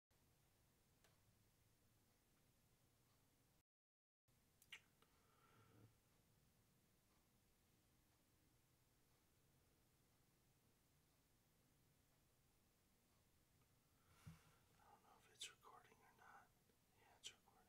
I don't know if it's recording or not. Yeah, it's recording.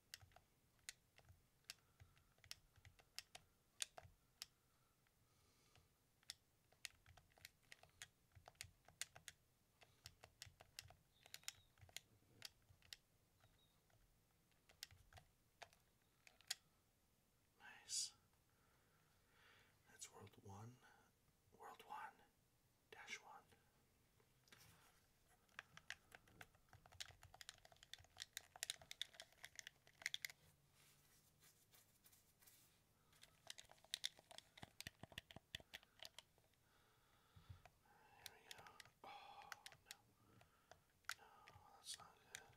Nice. That's world one. World one dash one. Here we go. Oh no. No, that's not good.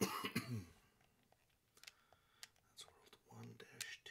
That's world one dash two.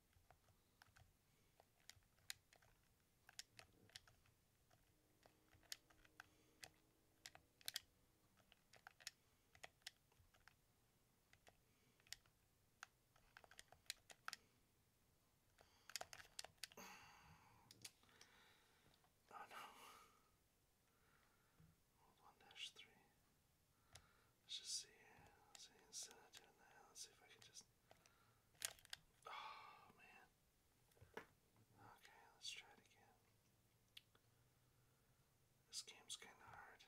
Oh no. one dash three. Let's just see here. Let's see insanity in Let's see if I can just Oh man. Okay, let's try it again. This game's kind of hard.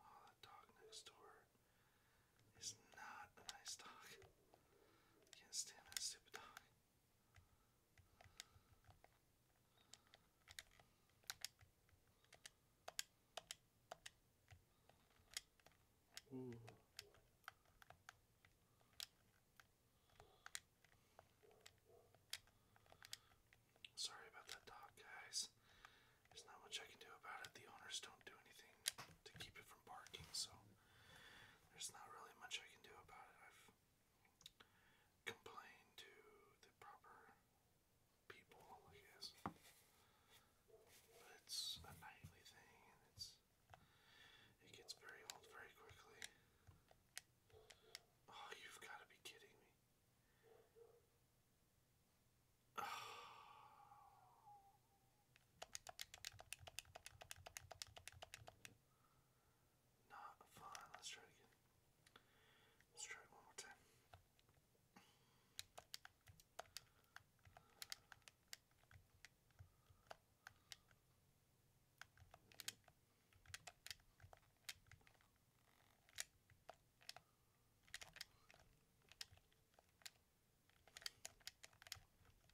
Oh, that dog next door is not a nice dog. can't stand that stupid dog. Ooh. Sorry about that dog, guys. There's not much I can do about it. The owners don't do anything to keep it from barking, so there's not really much I can do about it complain to the proper people, I guess. But it's a nightly thing, and it's it gets very old very quickly. Oh, you've got to be kidding me. Not fine. Let's try it again. Let's try it one more time.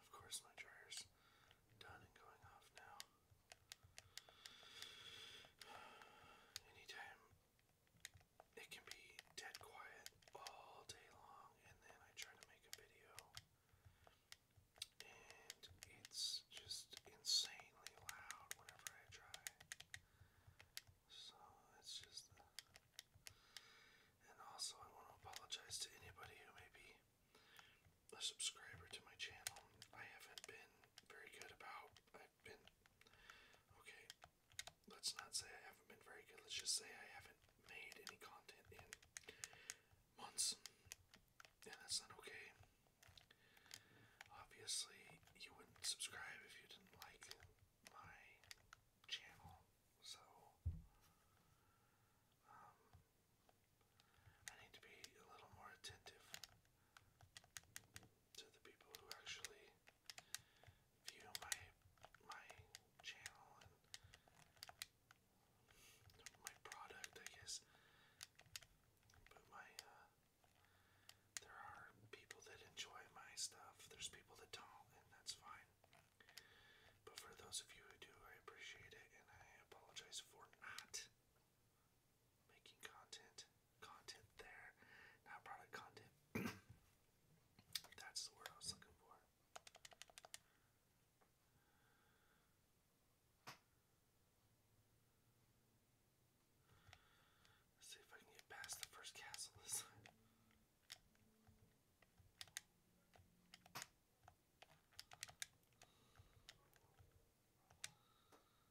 Of course, my dryer's done and going off now. Anytime it can be dead quiet all day long, and then I try to make a video, and it's just insanely loud whenever I try. So it's just. and also, I want to apologize to anybody who may be a subscriber to my channel. I haven't been very good about. I've been. Okay, let's not say I haven't been very good, let's just say I haven't made any content in months. And that's not okay. Obviously, you wouldn't subscribe if you didn't like my channel, so um, I need to be a little more attentive to the people who actually view my my channel and my product, I guess. But my uh, there are people that enjoy my stuff. There's people that don't, and that's fine. But for those of you who do, I appreciate it, and I apologize for not making content content there. Not product content. That's the word I was looking for. see if I can get past the first castle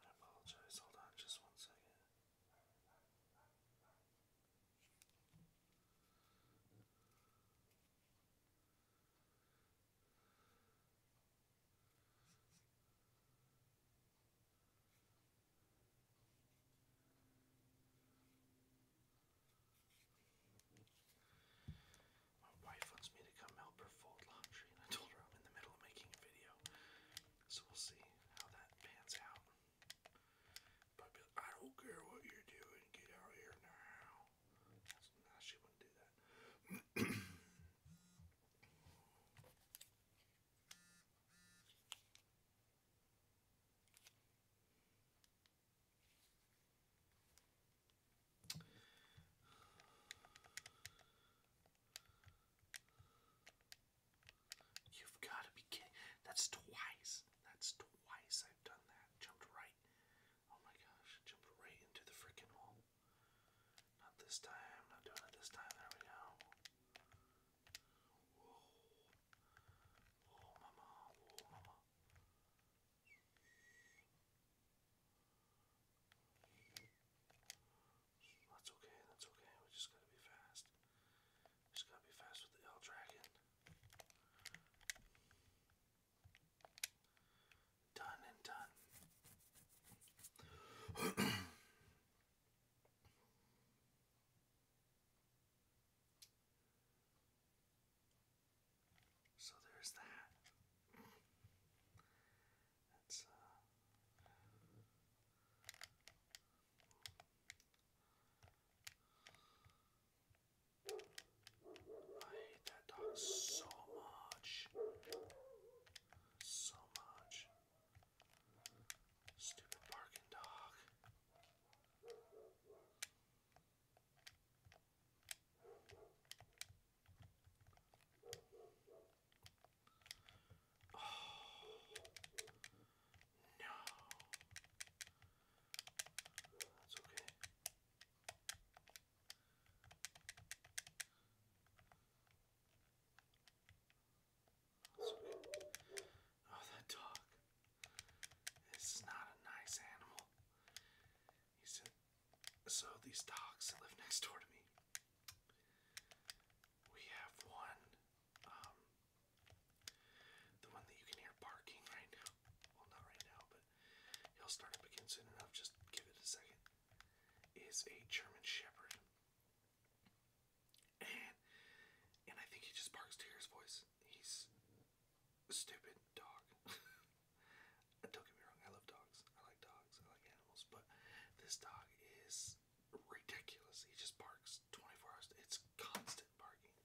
I apologize, hold on just one second. My wife wants me to come help her fold laundry, and I told her I'm in the middle of making a video. So we'll see how that pans out. But I don't care what you're doing, get out here now. she wouldn't do that. You've got to be kidding. That's twice. That's twice I've done that. Jumped right. Oh my gosh. Jumped right into the freaking hole. Not this time. Not doing it this time. There we go. Whoa. mama. Whoa, mama. That's okay, that's okay. We just gotta be fast. just gotta be fast with the L Dragon. Done and done. so there's that. That's uh I hate that dog so much. So much. Stupid barking dog. Oh, no. That's okay. That's okay. Oh, that dog. This is not a nice animal. He said, So these dogs that live next door to me, we have one, um, the one that you can hear barking right now. Well, not right now, but he'll start up again soon enough. Just give it a second. Is a German Shepherd. And, and I think he just barks to hear his voice. He's a stupid dog. Don't get me wrong, I love dogs. I like dogs. I like animals. But this dog is ridiculous. He just barks 24 hours. It's constant barking.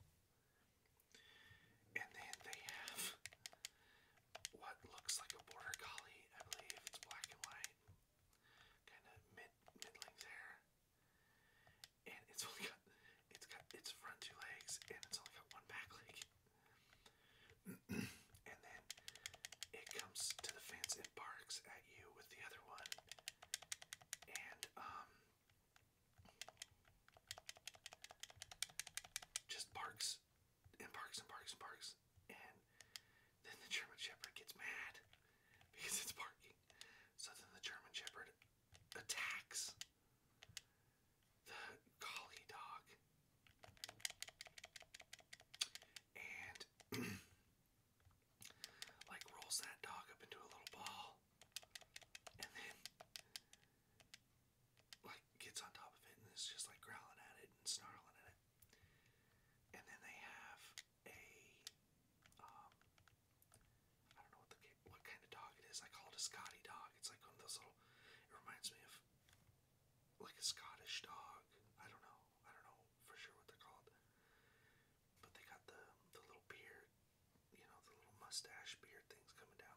And then they have what looks like a border collie. I believe it's black and white, kind of mid middling there. And it's only got it's got its front two legs, and it's only got one back leg and then it comes to the fence and barks at you with the other one. And, um, just barks and barks and barks and barks. And then the German Shepherd gets mad because it's barking. So then the German Shepherd attacks the collie dog. And like rolls that dog up into a little ball and then like gets on top of it and is just like growling at it and snarling at it. And then they have a um, don't know what kind of dog it is. I call it a Scotty dog. It's like one of those little. It reminds me of like a Scottish dog. I don't know. I don't know for sure what they're called. But they got the the little beard, you know, the little mustache beard things coming down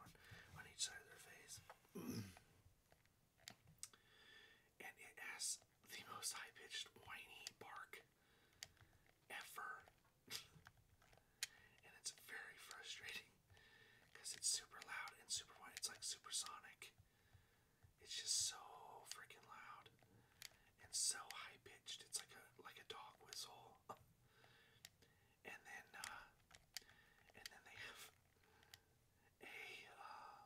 on, each side of their face. and it has the most high pitched whiny bark ever. and it's very frustrating because it's super loud and super wide. It's like supersonic. It's just so freaking loud and so high pitched. It's like a like a dog whistle. and then uh, and then they have a uh,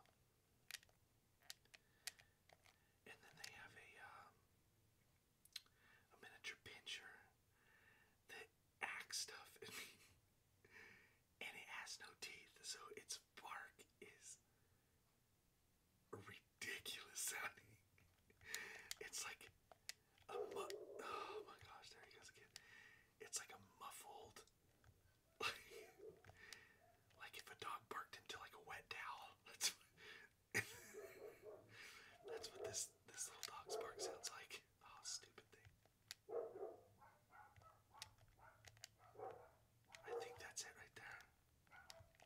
and then they have a um, a miniature pincher that acts stuff and it has no teeth, so its bark is ridiculous sounding. It's like a mu oh my gosh, there he goes again. It's like a muffled like, if a dog barked into like a wet towel. That's what, this this little dog's bark sounds like. Oh, stupid thing. I think that's it right there.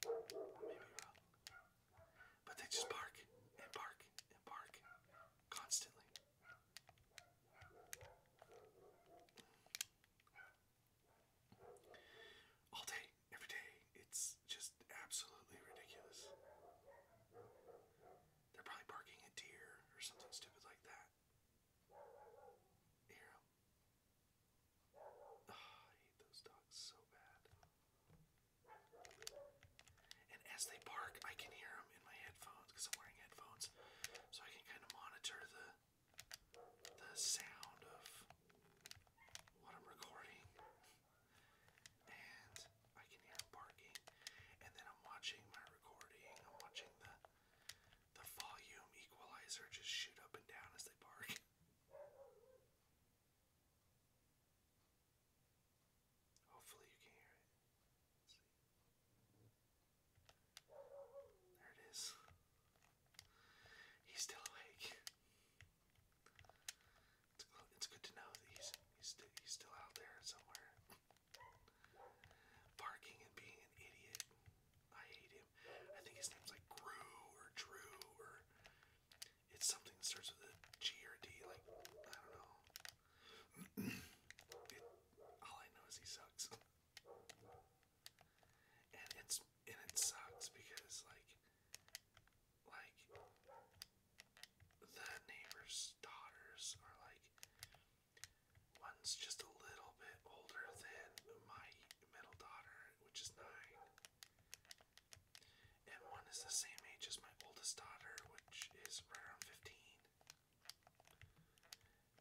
But they just bark and bark and bark constantly. All day, every day. It's just absolutely ridiculous. They're probably barking a deer or something stupid like that. hear ah, them? I hate those dogs so bad. And as they bark, I can hear them in my headphones because I'm wearing headphones, so I can kind of monitor the the sound of what I'm recording. And I can hear barking. And then I'm watching my recording. I'm watching the the volume equalizer just shoot up and down as they bark. Hopefully you can hear it. There it is. He's still awake. It's, it's good to know that he's he's, st he's still out there somewhere. Barking and being an idiot. I hate him. I think his name's like Gru or Drew or it's something that starts with a G or a D. Like I don't know. it, all I know is he sucks, and it's and it sucks because like like the neighbors daughters are like one's just a little bit older than my middle daughter, which is nine, and one is the same age as my oldest daughter, which is right around 15.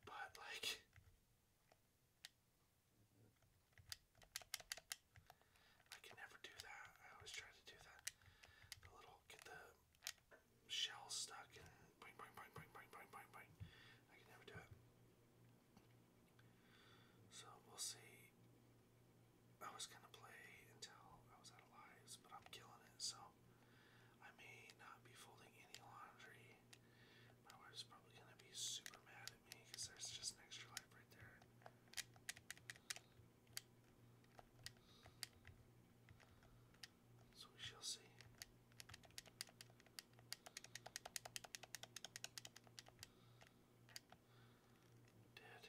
But like, I can never do that. I always try to do that. The little get the shell stuck I can never do it. So we'll see. I was gonna play until I was out of lives, but I'm killing it, so I may not be folding any laundry. My wife's probably gonna be super mad at me because there's just extra life right there. So we shall see. Dead.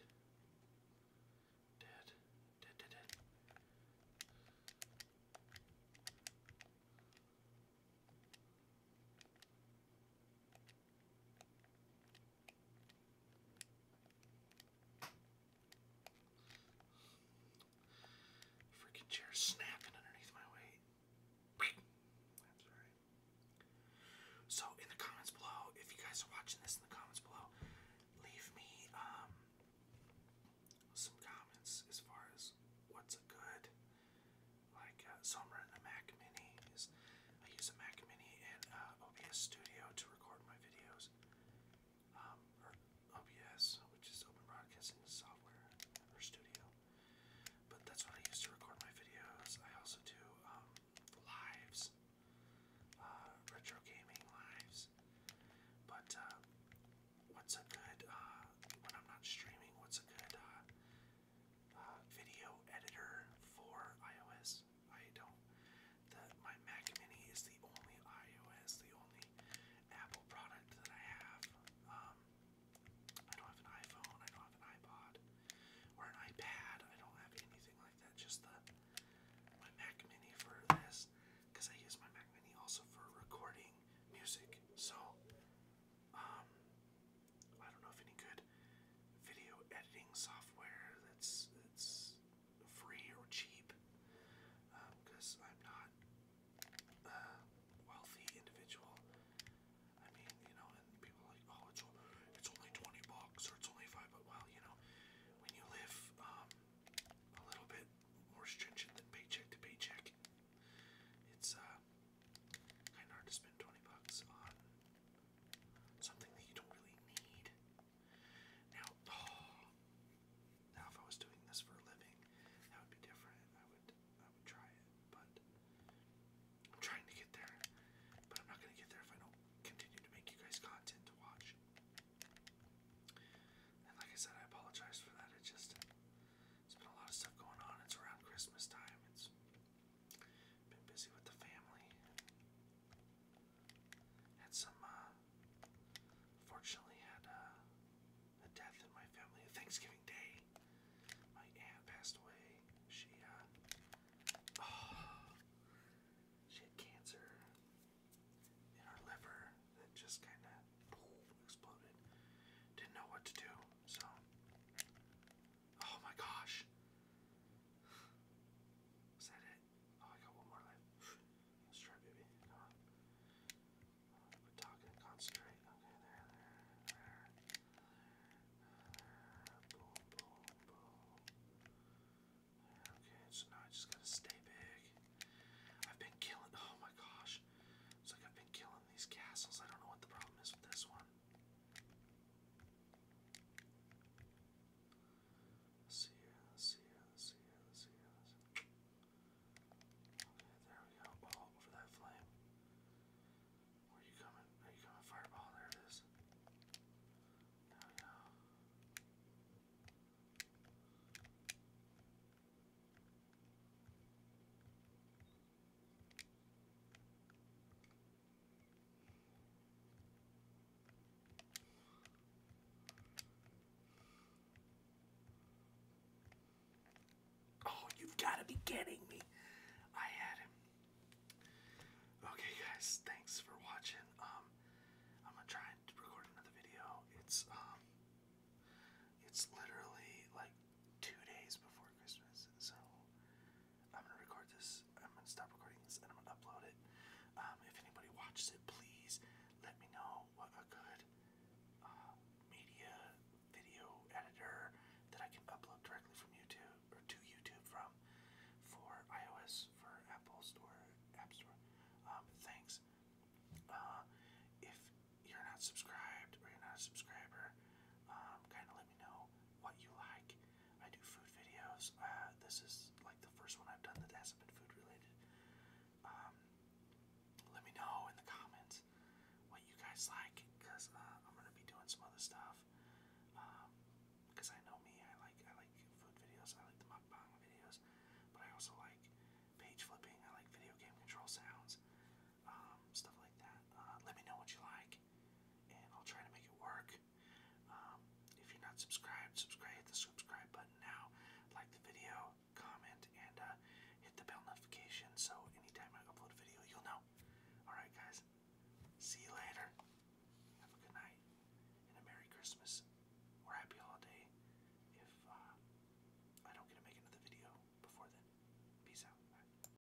Dead. Dead, dead, dead. Freaking chair snapping underneath my weight. So in the comments below, if you guys are watching this in the comments below, leave me um some comments as far as what's a good like uh, summer in the Mac Mini I use a Mac Mini and uh, OBS Studio to record my videos, um, OBS, which is Open Broadcasting Software or Studio. But that's what I use to record my videos. I also do um, lives, uh, retro gaming lives. But uh, what's a good when I'm not streaming? What's a good video editor for iOS? I don't. my Mac Mini is the only iOS, the only Apple product that I have. Um, I don't have an iPhone. I don't have an iPod or an iPad. I don't have anything like that. Just the my Mac Mini for this, because I use my Mac Mini also for recording music. So, um, I don't know if any good video editing software that's that's free or cheap because um, I'm not wealthy individual. I mean, you know, and people like, oh, it's, it's only 20 bucks or it's only 5 but Well, you know, when you live um, a little bit more stringent than paycheck to paycheck, it's uh, kind of hard to spend 20 bucks on something that you don't really need. Now, oh, now if I was doing this for a living, that would be different. I would, I would try it, but I'm trying to get there. But I'm not gonna get there if I don't continue to make you guys content to watch. And like I said, I apologize for that. It just, it's been a lot of stuff going on. It's around Christmas time. It's been busy with the family. Had some, uh, fortunately, had uh, a death in my family. Thanksgiving Day, my aunt passed away. She, uh, she had cancer in her liver that just kind of exploded. Didn't know what to do, so Oh my gosh. Is that it? Oh, I got one more left. Let's try, baby. Come on. Quit talking concentrate. okay, so now I just gotta stay big. I've been killing. Oh my gosh. It's like I've been killing these castles. I don't know what the problem is with this one. See ya, see ya, see ya, see ya. Okay, there we go. All over that flame. Where are you coming? Are you coming, fireball? There it is. There we go. Oh, you've got to be kidding me. I had him. Okay, guys, thanks for watching. Um, I'm gonna try and record another video. It's um, it's literally like two days before Christmas, so I'm gonna record this. I'm gonna stop recording this and I'm gonna upload it. Um, if anybody watches it, please let me know what a good uh, media video editor that I can upload directly from YouTube or to YouTube from for iOS for Apple Store, App Store. Um, thanks. Uh, if you're not subscribed or you're not a subscriber, um, kind of know what you like. I do food videos. Uh, this is like the first one I've done that hasn't been food related. Um, let me know in the comments what you guys like, cause uh, I'm gonna be doing some other stuff. Um, cause I know me, I like I like food videos, I like the mukbang videos, but I also like page flipping. I like video game control sounds. Um, stuff like that. Uh, let me know what you like, and I'll try to make it work. Um, if you're not subscribed, subscribe. Hit the subscribe button now. Like the video, comment, and uh, hit the bell notification so anytime I upload a video, you'll know. All right, guys. See you later. Have a good night and a Merry Christmas or Happy Holiday. If uh, I don't get to make another video before then, peace out.